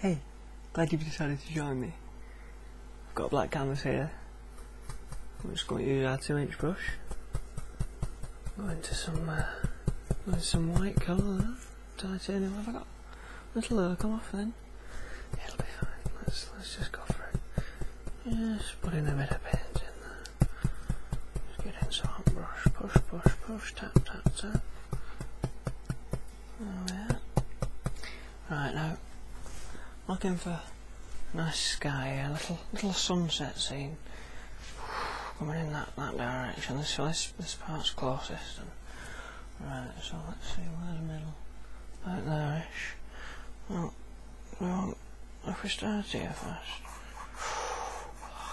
Hey, glad you've decided to join me. I've got black canvas here. I'm just going to use our two inch brush. Go into some uh, some white colour titanium have I got? Little will come off then. It'll be fine. Let's let's just go for it. Just put in a bit of paint in there. get in some brush, push, push, push, tap, tap, tap. There right now, looking for a nice sky, a little little sunset scene coming in that, that direction. This this this part's closest. And, right, so let's see where the middle, about there ish. Well, if we start here first.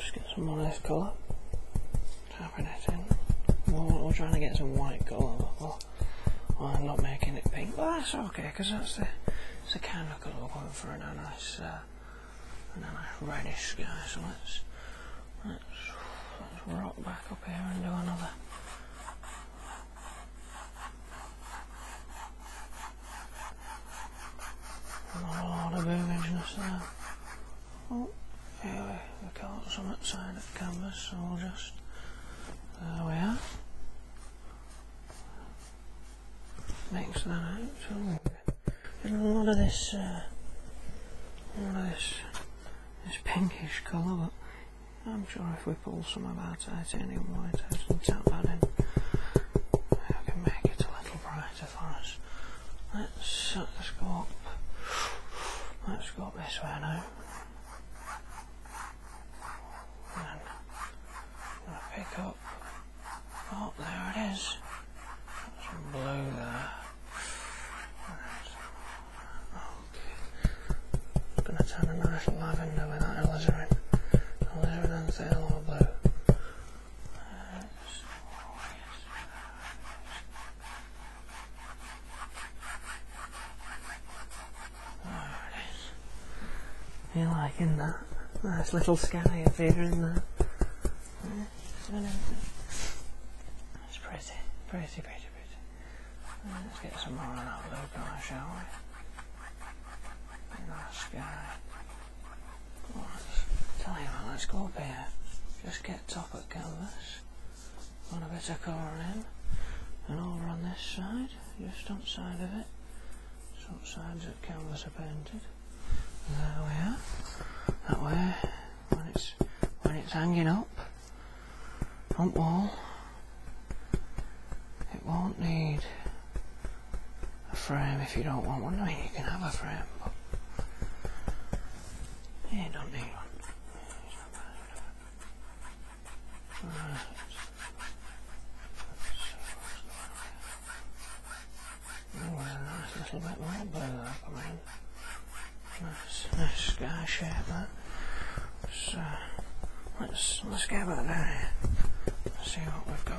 Just get some more nice colour. Tapping it in. We're, trying to get some white colour. Well, I'm not making it pink, but that's okay because that's the, it's the kind of colour we're for and a nice, and uh, a nice reddish sky. So let's, let's rock back up here and do another. A lot of boobies and Oh, anyway, we caught some outside of canvas, so we'll just. There we are. Mix that out. So a lot of this, uh, lot of this, this pinkish colour, but I'm sure if we pull some of our titanium white out and tap that in, I can make it a little little brighter for us. Let's, let's go up. Let's go up this way now. And i pick up. Oh, there it is. Got some blue there. Okay. Gonna turn a nice lavender with that alizarin. Alizarin and some yellow blue. There it is. You're liking that? Nice little sky appearing there. It's pretty, pretty, pretty, pretty. Let's get some more of that blue colour, shall we? Nice sky tell you what, let's go up here. Just get top of canvas. Run a bit of colour in. And over on this side, just outside of it. Some sides of canvas are painted. there we are. That way, when it's when it's hanging up front wall, it won't need a frame if you don't want one. No, you can have a frame, but you don't need one. nice little bit more blue there coming in. Nice, nice sky shape So, let's, let's get back down See what we've got.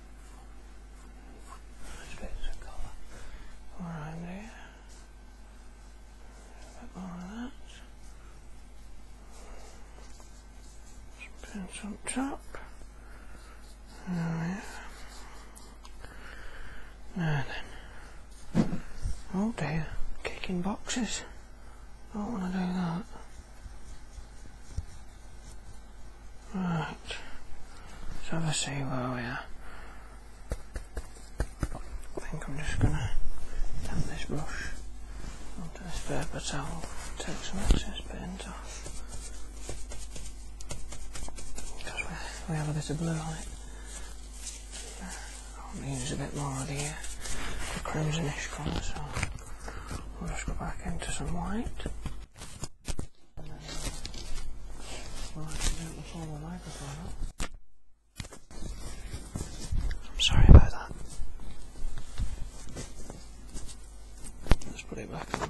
around there. A bit more of that. Some on top. There we are. then. Oh dear, kicking boxes. I Don't want to do that. Right. Let's have a see where we are. I think I'm just going to tap this brush onto this paper towel, take some excess paint off. Because we, have a bit of blue on it. I'm a bit more of the, uh, the crimsonish colour, so we'll just go back into some white. I am sorry about that. Let's put it back on.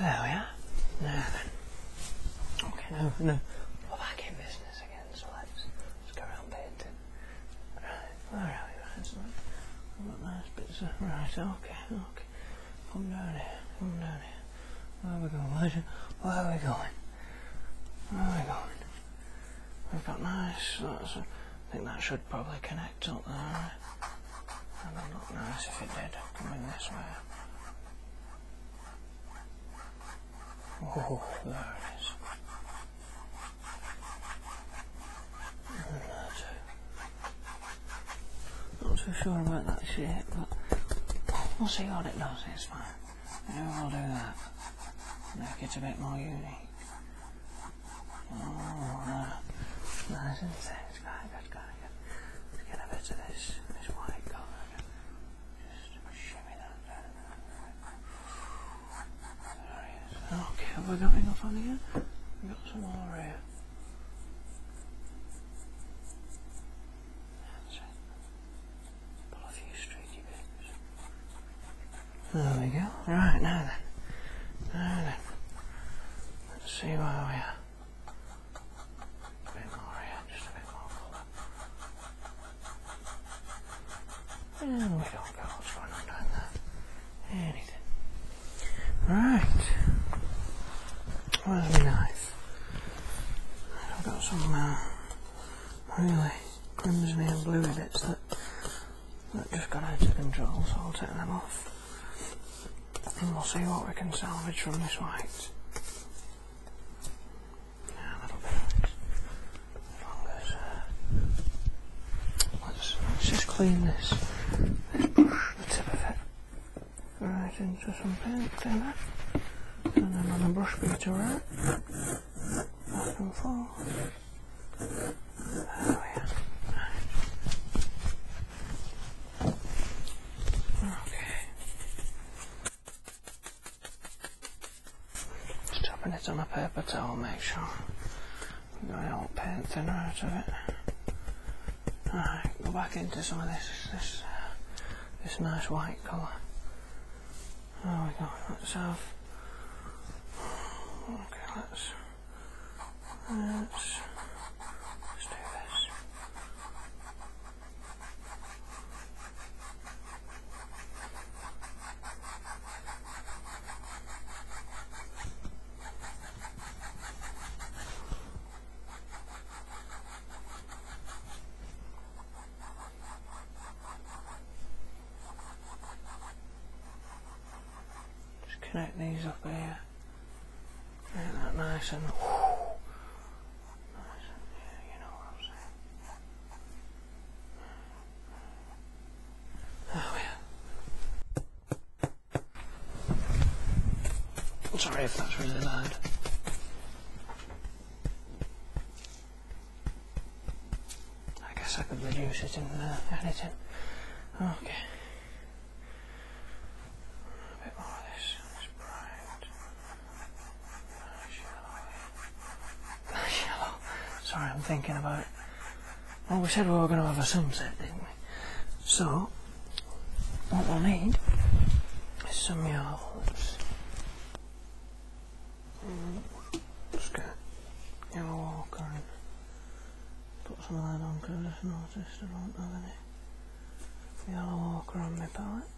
There we are. Okay, no, no. back in business let's, go around painting. Right, where are you? Right, nice bits uh, right, okay, okay. Come down here, come down here. Where are we going? Where's, where are we going? Where are we going? We've got nice, I think that should probably connect up there. Right? That would look nice if it did, coming this way. Oh, there it is. Not too sure about that shit, but we'll see what it does, it's fine. Maybe we'll do that. Make it a bit more unique. Oh, there. Nice and thin. It's quite good, get a bit of this, this white colour. Okay, have I got enough on here? we got some more here. There we go. Right, now then. Now then. Let's see where we are. A bit more here, just a bit more and we don't go. What's going on down there? Anything. Right. Where's my knife? I've got some uh, really crimsony and bluey bits that, that just got out of control, so I'll take them off. And we'll see what we can salvage from this white let's, just clean this. the tip of it right into some paint thinner, and then on a brush beater out, back and forth. Oh, okay. Just dropping it on a paper towel, make sure we got it all paint thinner out of it. Alright, go back into some of this this this nice white colour. There we go, let's have okay let's let's let's do this. Just connect these up here. Make that nice and I'm Oh, yeah. sorry if that's really loud. I guess I could reduce it in uh, editing. Okay. A bit more of this. Yellow. Sorry, I'm thinking about Well, we said we were going to have a sunset, didn't we? So, what we'll need is some yards. Mm, just get your walker and put some of that on because I just noticed I don't have any yellow walker on my palette.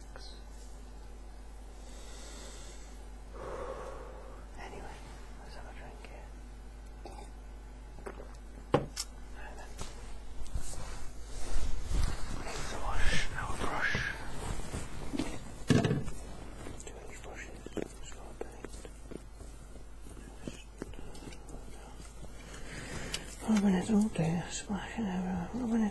relax. Anyway, let's have a drink here. Right then. wash our brush. Too many brushes, it's not a Just rubbing it all day, splashing everywhere, rubbing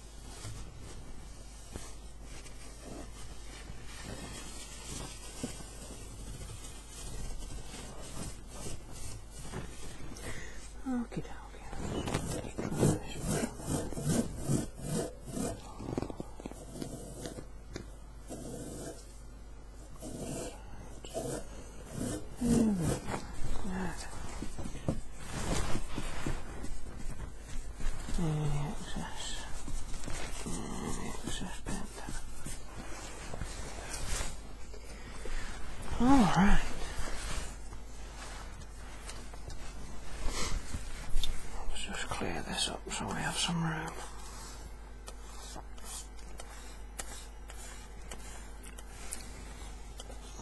Okay, okay. There we go. All right. Let's just clear this up so we have some room.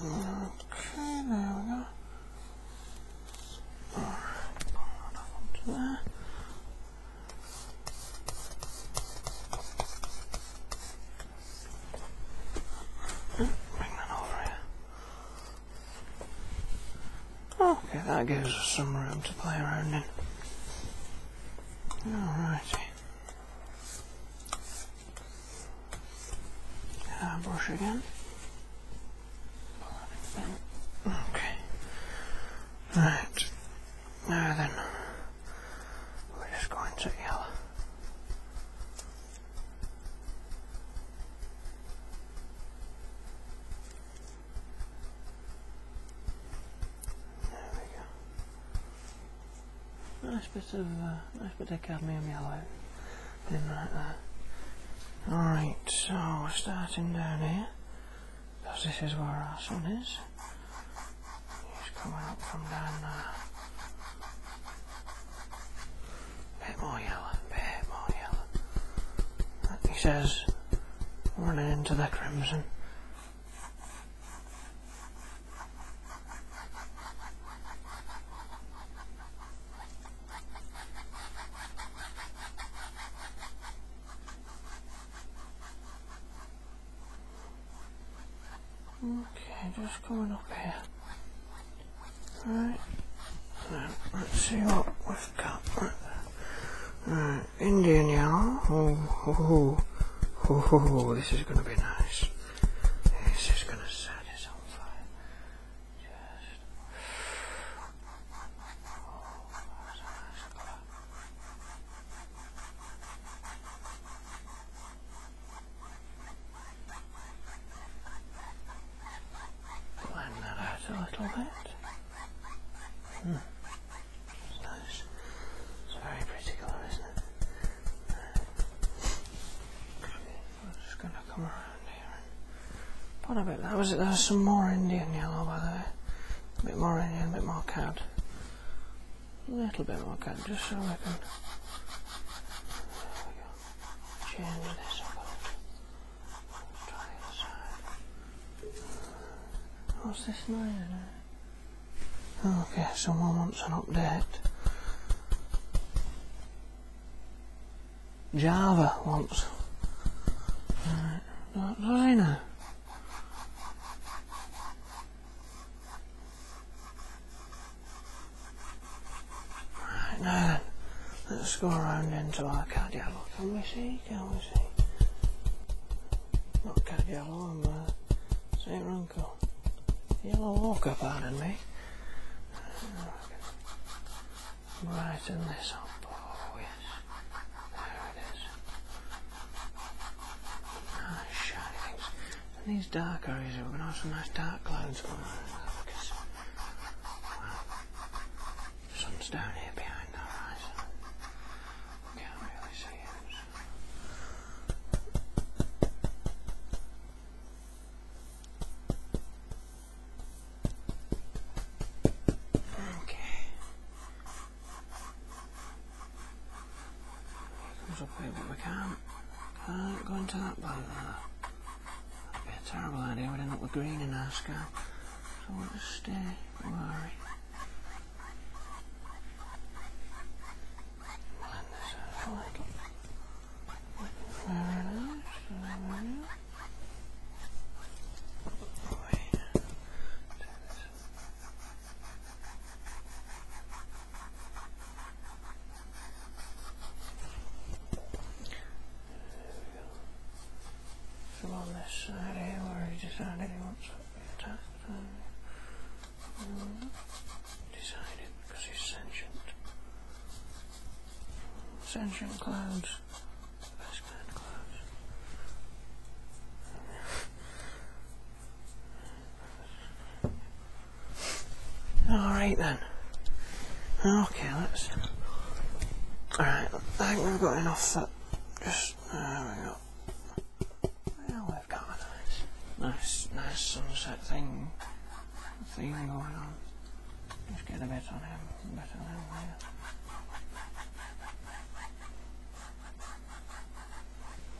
Okay, there we go. Right, Bring that over here. Okay, that gives us some room to play around in. Alrighty. Uh, brush again. Okay. Right. Now then, we're just going to yellow. There we go. Nice bit of uh, nice bit of cadmium yellow in right there. Alright, so we're starting down here, because this is where our sun is. He's coming up from down there. Bit more yellow, bit more yellow. he says, running into the crimson. Okay, just going up here. Right. let's see what we've got. Right. Indian yellow. Oh, oh, oh, this is going to be nice. This is going to satisfy fine. Just oh, Blend that out a little bit. Hmm. It's very pretty colour, isn't it? I'm just gonna come around here. What a bit. That was it. There was some more Indian yellow by there. A bit more Indian, a bit more cad. A little bit more cad, just so I can change this. What's this noise? Eh? Okay, someone wants an update. Java once. Right. What do I know? Right, let's go around into our card Can we see? Can we see? Not card yellow, I'm wrong. Uncle Yellow Walker, pardon me. Right in this up. Oh, yes. There it is. Nice shiny things. these dark areas, we're going to have some nice dark clouds going on. Sun's down here behind the horizon. Can't really see it. Okay. Comes up here, but we can't, can't go into that bank That'd be a terrible idea, we'd end up with green in our sky. So we'll just stay where are we? Blend this so on this side uh, here where he decided he wants to attack. Decided because he's sentient. Sentient clouds. The clouds. Alright then. Okay, let's. Alright, I think we've got enough that. Just. Uh, there we go nice, nice, sunset thing, thing going on. Just get a bit on him, a bit on him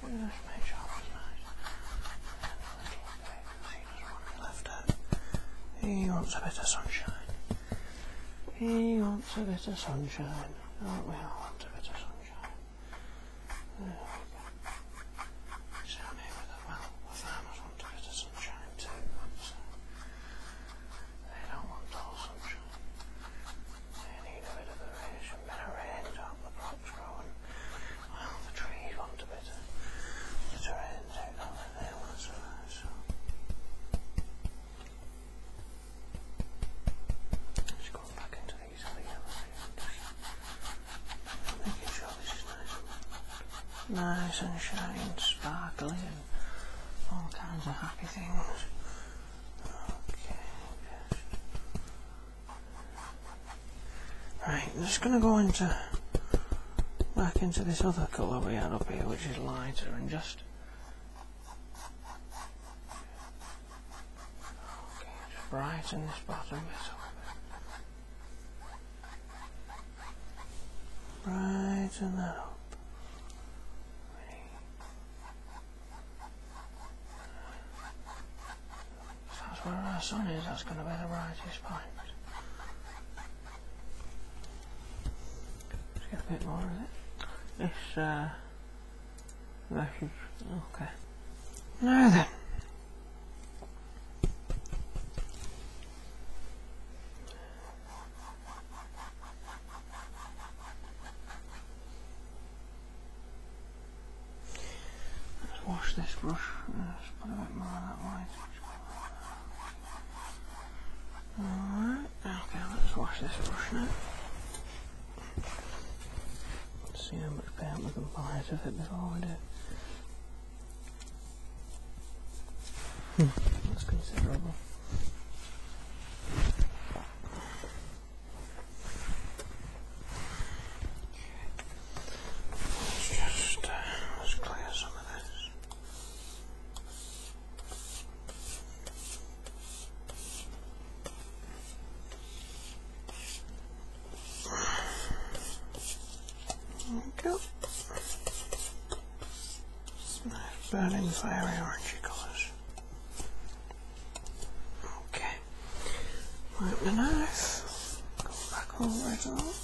Just make sure it's nice. And a little bit, he left out. He wants a bit of sunshine. He wants a bit of sunshine. do we all want a bit of sunshine? Show me with, well, with Amazon to get a sunshine too, they don't want all sunshine. They need a bit of the rain. to help the crops grow and, the trees want a bit of the terrain take on it. so. Let's back into making sure this is nice and, shiny and sparkly and all kinds of happy things. Okay, Right, I'm just going to go into back into this other colour we had up here, which is lighter, and just Okay, brighten this bottom bit up. Brighten that up. that's where our sun is, that's going to be the brightest point. get a bit more of it. This, uh, Okay. Now then. Let's wash this brush. put a bit more that white. Alright, okay, let's wash this brush now. See how much paint we can buy out of it before we do. Hmm. That's considerable. Uh, there we go. fiery orangey colours. Okay. Wipe the knife. Go back over it all.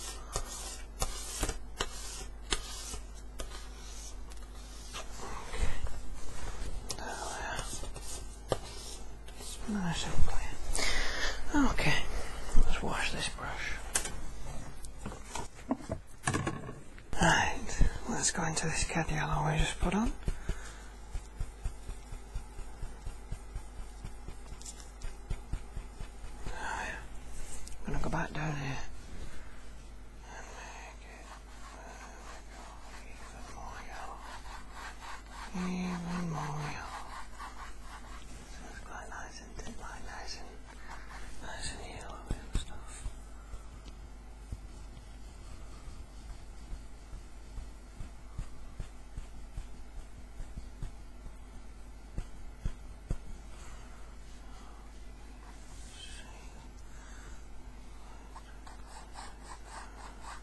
Okay. There we are. Okay, let's wash this brush. Right, let's go into this cat yellow we just put on. I'm gonna go back down here. I am immobile. This quite nice and did my nice and nice and yellow and stuff. let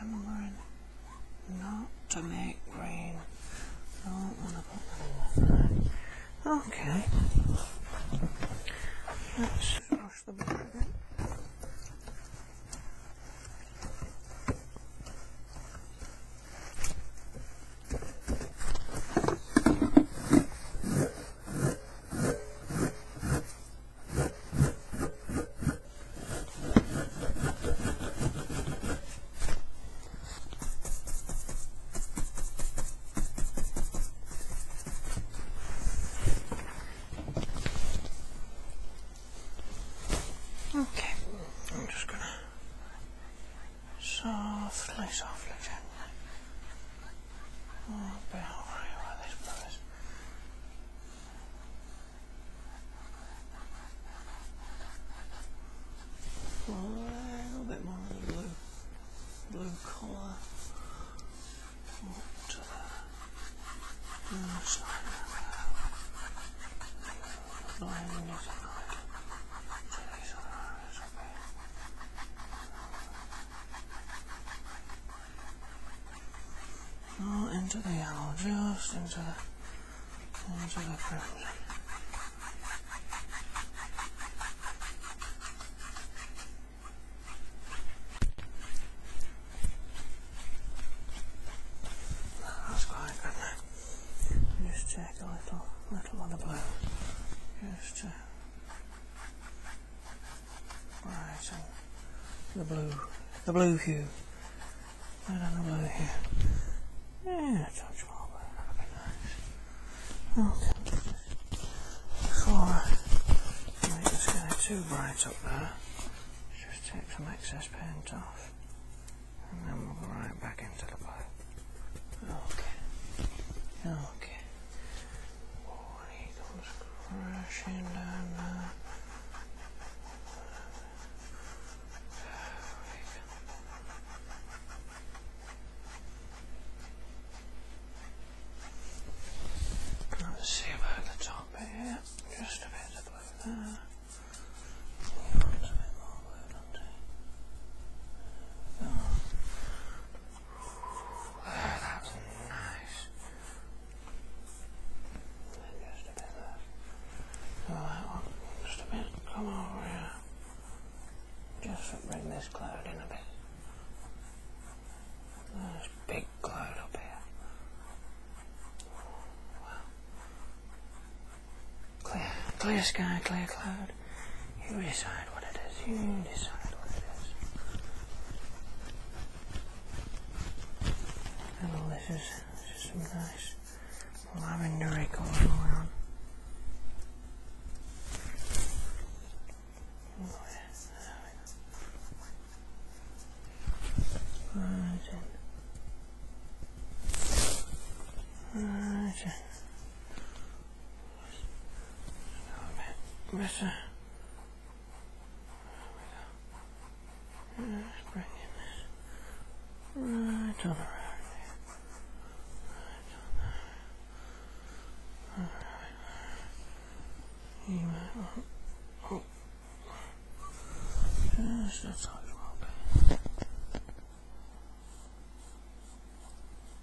I'm Remembering not to make rain. Okay. Let's wash the board a Okay, I'm just gonna softly, softly, gently a little bit more of the blue, blue colour. What, no, sorry. not Oh, into the yellow, just into the, into the crimson. That's quite good Just check a little, little on the blue. Just the blue, the blue hue. Right on the blue hue. Yeah, touch marble, that Okay. Before I make this guy too bright up there, just take some excess paint off. And then we'll go right back into the blue. Okay. Okay crashing down see about the top here, just a bit of blue there. a bit more blue, not too. That's nice. Just a bit left. So that one, just a bit. Come over here. Just bring this cloud in a bit. This big cloud up here. Wow. Clear, clear sky, clear cloud. You reside decide what it is. You hmm. decide what it is. And this is just some nice lavender going around. Right. Right. Better. Bring bringing that right on around there. Alright, You might want... Oh. Just outside the wrong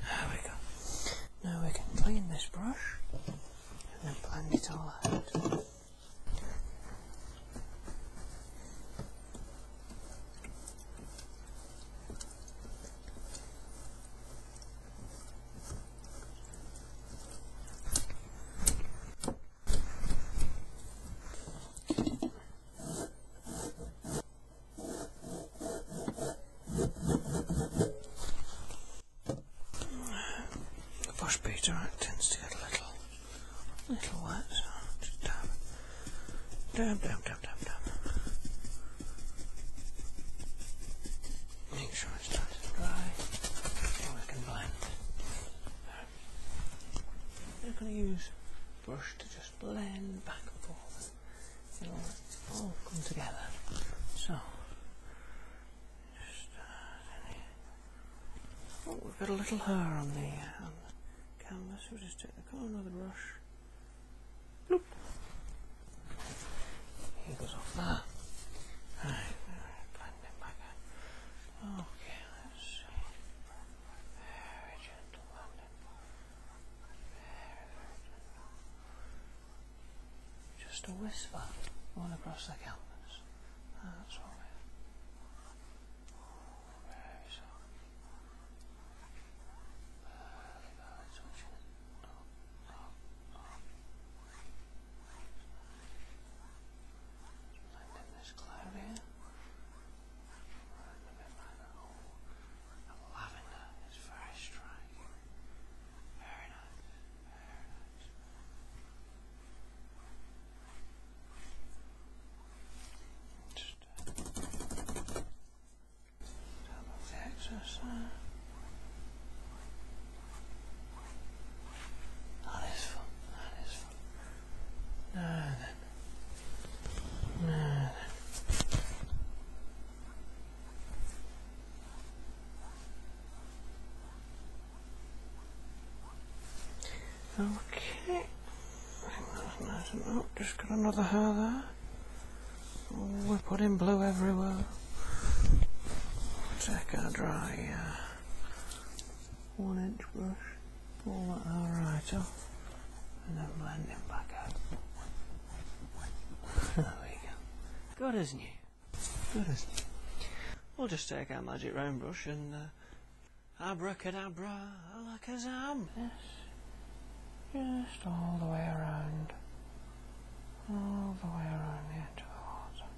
There we go. Now we can clean this brush and then blend it all out. Bush beater tends to get a little, little wet, just dab, dab, dab, dab, dab, Make sure it's nice and dry, so we can blend. We're going to use brush to just blend back and forth. it all come together. So, uh, oh, we've got a little hair on the, canvas. We'll just take the corner of brush. Bloop. He goes off there. Right, blend it back. Okay, let's see. Just a whisper all across the campus. That's all right. Very soft. Very, very Landing this cloud here. Right in the bit very striking. Very nice. Very nice. double the exercise. That is fun. That is Okay. just got another hair there. Oh, we're putting blue everywhere. Check our dry uh, one inch brush pull that right off and then blend it back out. there we go. Good as new. Good as new. We'll just take our magic round brush and uh, abracadabra alakazam. Yes. Just all the way around. All the way around the edge of the water.